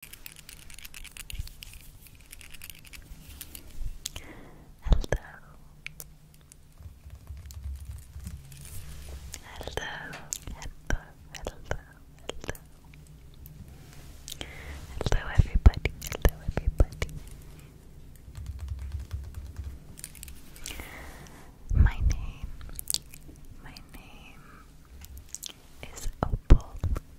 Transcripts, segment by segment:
Hello. Hello. Hello. Hello. Hello. Hello everybody. Hello everybody. My name. My name is Opal.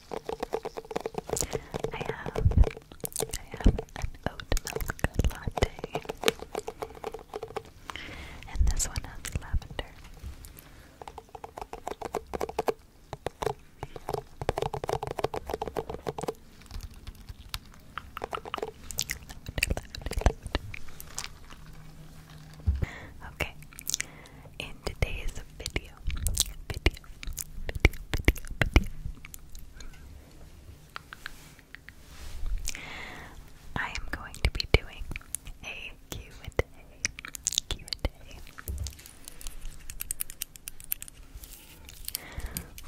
I have, I have an oat milk latte, and this one has lavender. Okay, in today's video, video, video, video, video, I am going to be doing a Q&A, Q&A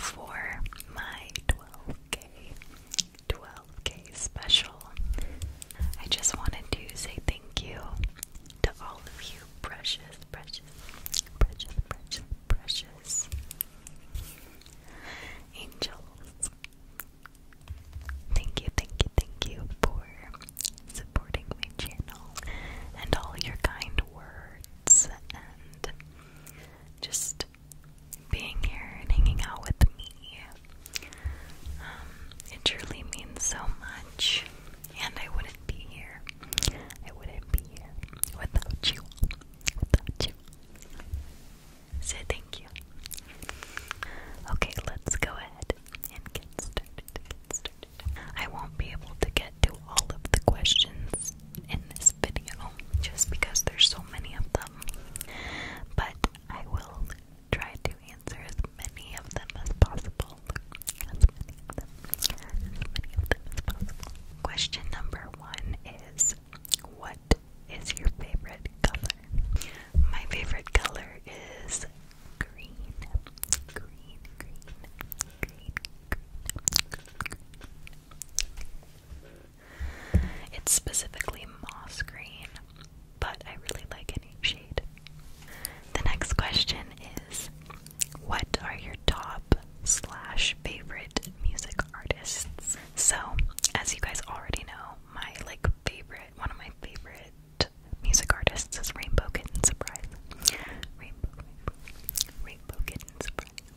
for my 12k, 12k special. I just wanted to say thank you to all of you, precious, precious, precious, precious, precious angels. Thank you, thank you, thank you for supporting my channel and all your kind words and just being here and hanging out with me. Um, it truly means so much. And I wouldn't be here. I wouldn't be here without you. Without you. So thank you. Okay, let's go ahead and get started. Get started. I won't be able to get to all of the questions in this video just because there's so many of them. But I will try to answer as many of them as possible. Question number one is, what is your favorite color? My favorite color is green. Green, green, green, green. It's specifically moss green, but I really like any shade the next question is What are your top slash favorite music artists? So, as you guys already know, my like favorite, one of my favorite music artists is Rainbow Kitten Surprise. Rainbow, Rainbow, Rainbow Kitten Surprise.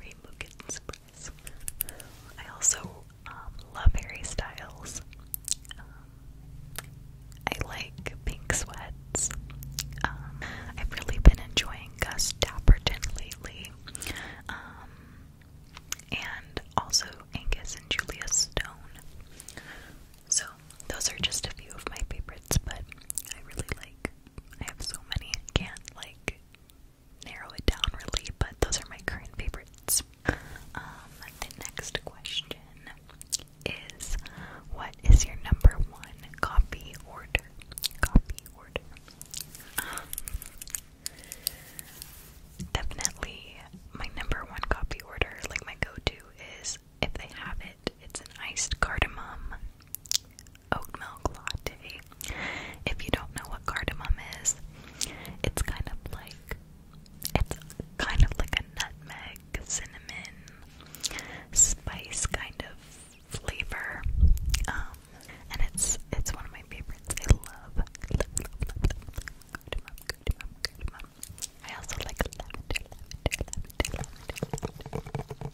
Rainbow Kitten Surprise. I also um, love Harry Styles. Um, I like pink sweats. Um, I've really been enjoying Gus Dapperton lately. Um, and also Angus and Julia Stone. So, those are just a few of my favorites, but I really like, I have so many, I can't like narrow it down really, but those are my current favorites. Um, the next question is what is your number one coffee order? Coffee order. definitely my number one coffee order, like my go-to is if they have it, it's an iced cardamom oat milk latte. If you don't know what cardamom is, it's kind of like it's kind of like a nutmeg, cinnamon, spice kind of flavor. and it's it's one of my favorites. I love, I also like lavender, lavender, lavender, lavender.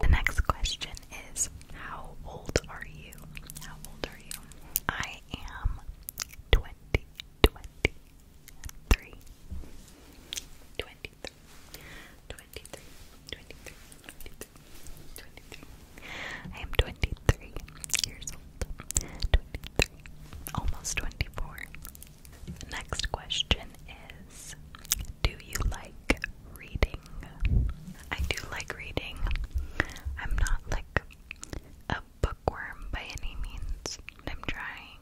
The next question is How old are you? How old are you? I am 12 twenty twenty I am twenty three years old. Twenty three. Almost twenty four. next question is do you like reading? I do like reading. I'm not like a bookworm by any means. I'm trying,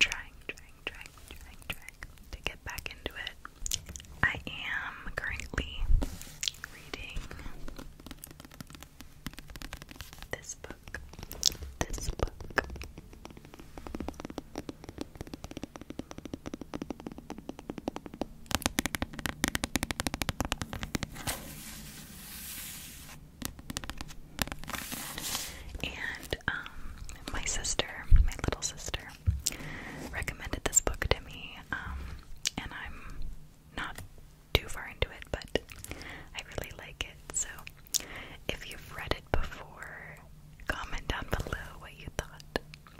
trying, trying, trying, trying, trying to get back into it. I am currently reading this book. This book. And um, my sister, my little sister, recommended this book to me. Um, and I'm not too far into it, but I really like it. So if you've read it before, comment down below what you thought.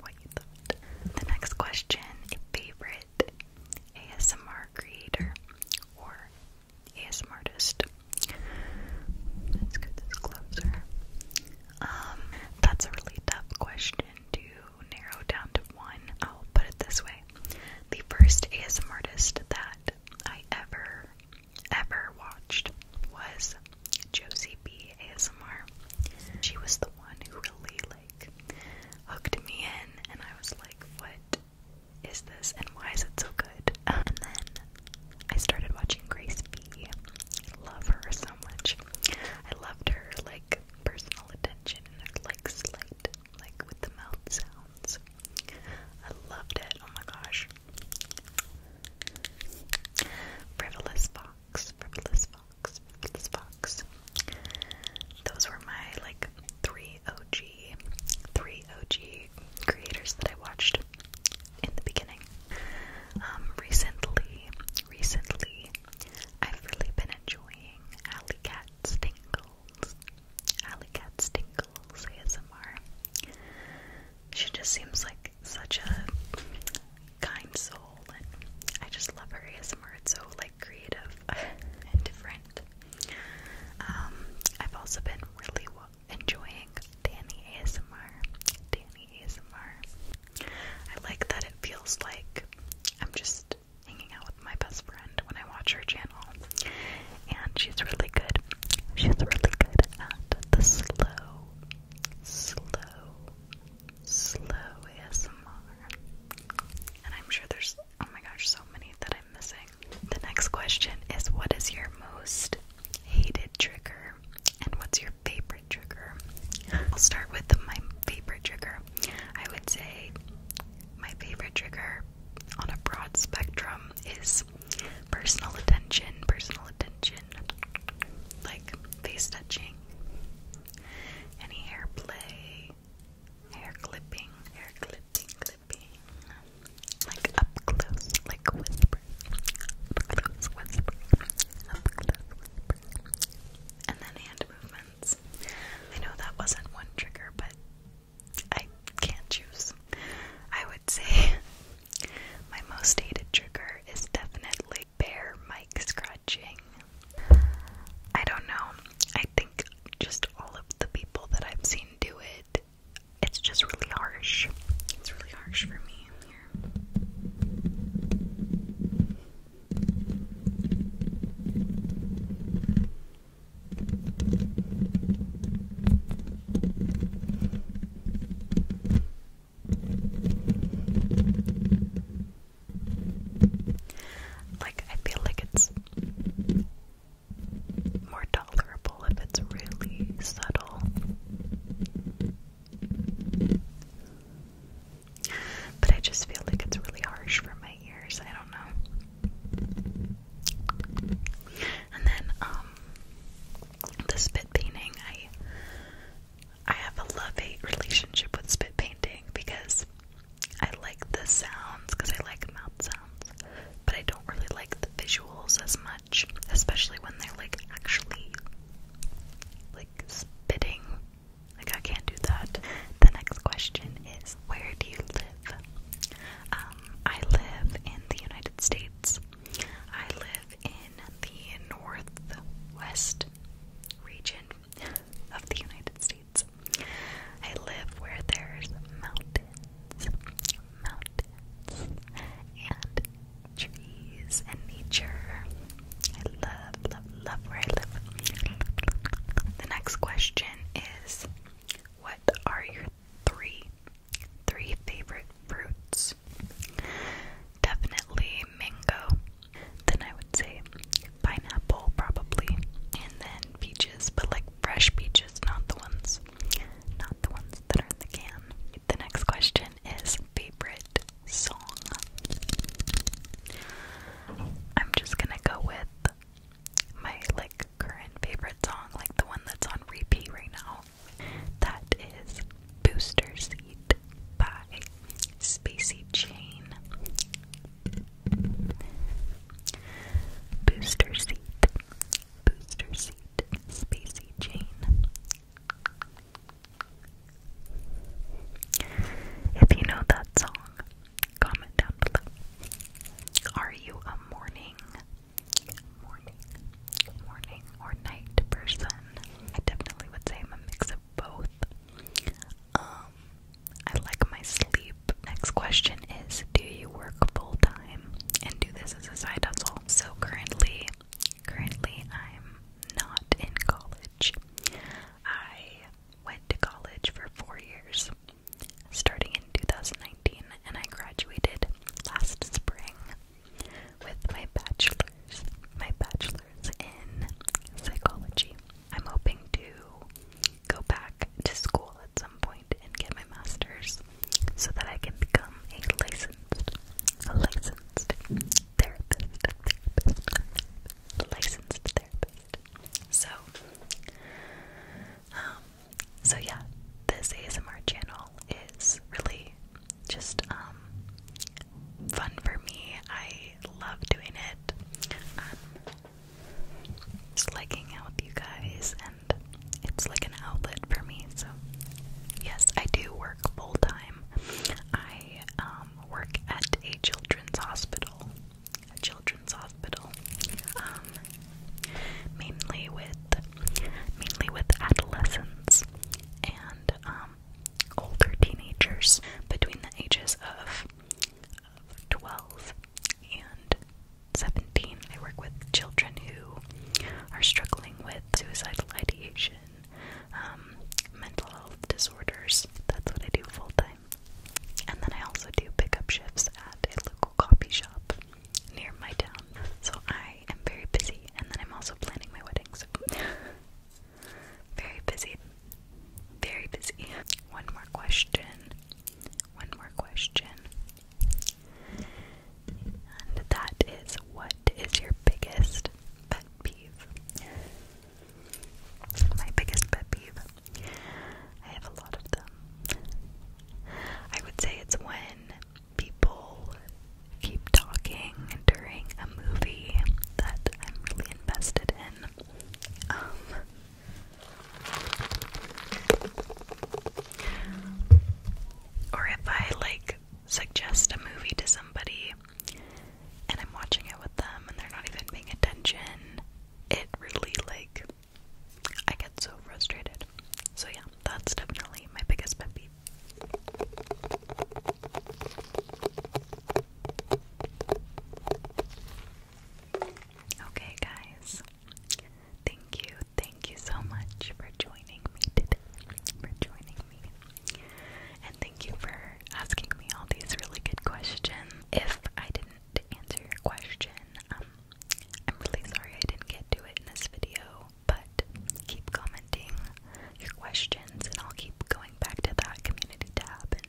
What you thought. The next question: a favorite ASMR creator or ASMR artist. Let's get closer. Um, that's a really tough question to narrow down to one. I'll put it this way. The first ASMR artist that I ever ever watched was Josie B ASMR. She was the one who really like hooked me in and I was like, what is this and why is it so good? and then I started watching Grace B. Love her so much. I loved her like personal attention and like slight, like with the mouth sounds. I loved it. Oh my gosh. Frivolous Fox, Frivolous Fox, Frivolous Fox. Those were my like three OG, three OG creators that I watched in the beginning. Um, recently, recently, I've really been enjoying Alley Cat Stingles. Alley Cat Stingles ASMR. She just seems like such a kind soul, and I just love her ASMR. It's so like creative and different. Um, I've also been really enjoying Danny ASMR. Danny ASMR. I like that it feels like I'm just hanging out with my best friend when I watch her channel, and she's really good. She's really good at the slow, slow, slow ASMR. And I'm sure there's Oh my gosh, so many that I'm missing. The next question is what is your most hated trigger and what's your favorite trigger? I'll start with my favorite trigger. I would say my favorite trigger on a broad spectrum is personal attention, personal attention, like face touching, any hair play, hair clipping, hair clipping, clipping, like up close, like whisper, up close whisper, up close whisper, and then hand movements. I know that wasn't one trigger, but I can't choose. I would say my most hated trigger is definitely bare mic scratching. I don't know. I think just all of the people that I've seen do it, it's just really harsh. It's really harsh for me Like I feel like it's more tolerable if it's really subtle. But I just feel like it's really harsh for my ears. I don't know. And then um the spit painting I I have a love-hate relationship with spit painting because I like the sounds because I like mouth sounds, but I don't really like the visuals as much, especially when they're like actually like spitting. Like I can't do that. The next question is where do you live? Um, I live in the United States. I live in the northwest region of the United States. I live where there's mountains, mountains, and trees and nature. I love, love, love where I live. The next question is What are your three, three favorite fruits? Definitely mango. Then I would say pineapple probably, and then peaches, but like fresh peaches, not the ones, not the ones that are in the can. The next question is favorite song. I'm just gonna go with my like current favorite song, like the one that's on repeat right now. That is Booster Seat by Spacey Chain. Booster Seat, Booster Seat, Spacey Jane. If you know that song, comment down below. Are you a morning, morning, morning, or night person? I definitely would say I'm a mix of both. Um, I like my sleep. Next question is Do you work full time and do this as a side hustle? So currently, currently I'm not in college. I went to college for four years, starting in 2019, and I graduated last spring with my bachelor's, my bachelor's in psychology. I'm hoping to go back to school at some point and get my master's so that I can become a licensed, a licensed therapist, therapist, a licensed therapist. So, um, so yeah, this ASMR channel is really just um fun for me. I love doing it. Um, just liking out with you guys, and it's like an outlet for me. So, yes, I do work full time. I um, work at a children's hospital, a children's hospital, um, mainly with mainly with adolescents and um, older teenagers between the ages of 12 and 17. I work with children who are struggling with suicidal ideation, um, mental health disorders. That's what I do full time. And then I also do pickup shifts at a local coffee shop near my town. So I am very busy, and then I'm also planning my wedding, so very busy. Very busy. One more question. One more question. And that is what is your biggest pet peeve? My biggest pet peeve. I have a lot of them. I would say it's when people keep talking during a movie that I'm really invested in. Um, or if I like suggest a movie to somebody and I'm watching it with them and they're not even paying attention, it really like I get so frustrated. So yeah, that's definitely my biggest pet peeve. Okay, guys. Thank you, thank you so much for joining me today. For joining me. And thank you for asking me all these really good questions. If I didn't answer your question, um, I'm really sorry I didn't get to it in this video, but keep commenting your questions and I'll keep going back to that community tab and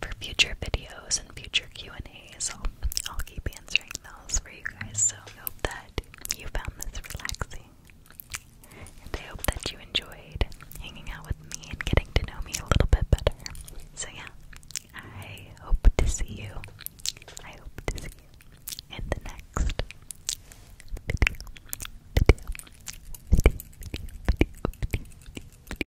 for future videos and future q and A, so I'll keep answering those for you guys. So I hope that you found this relaxing. And I hope that you enjoyed hanging out with me and getting to know me a little bit better. So yeah, I hope to see you. I hope to see you in the next video.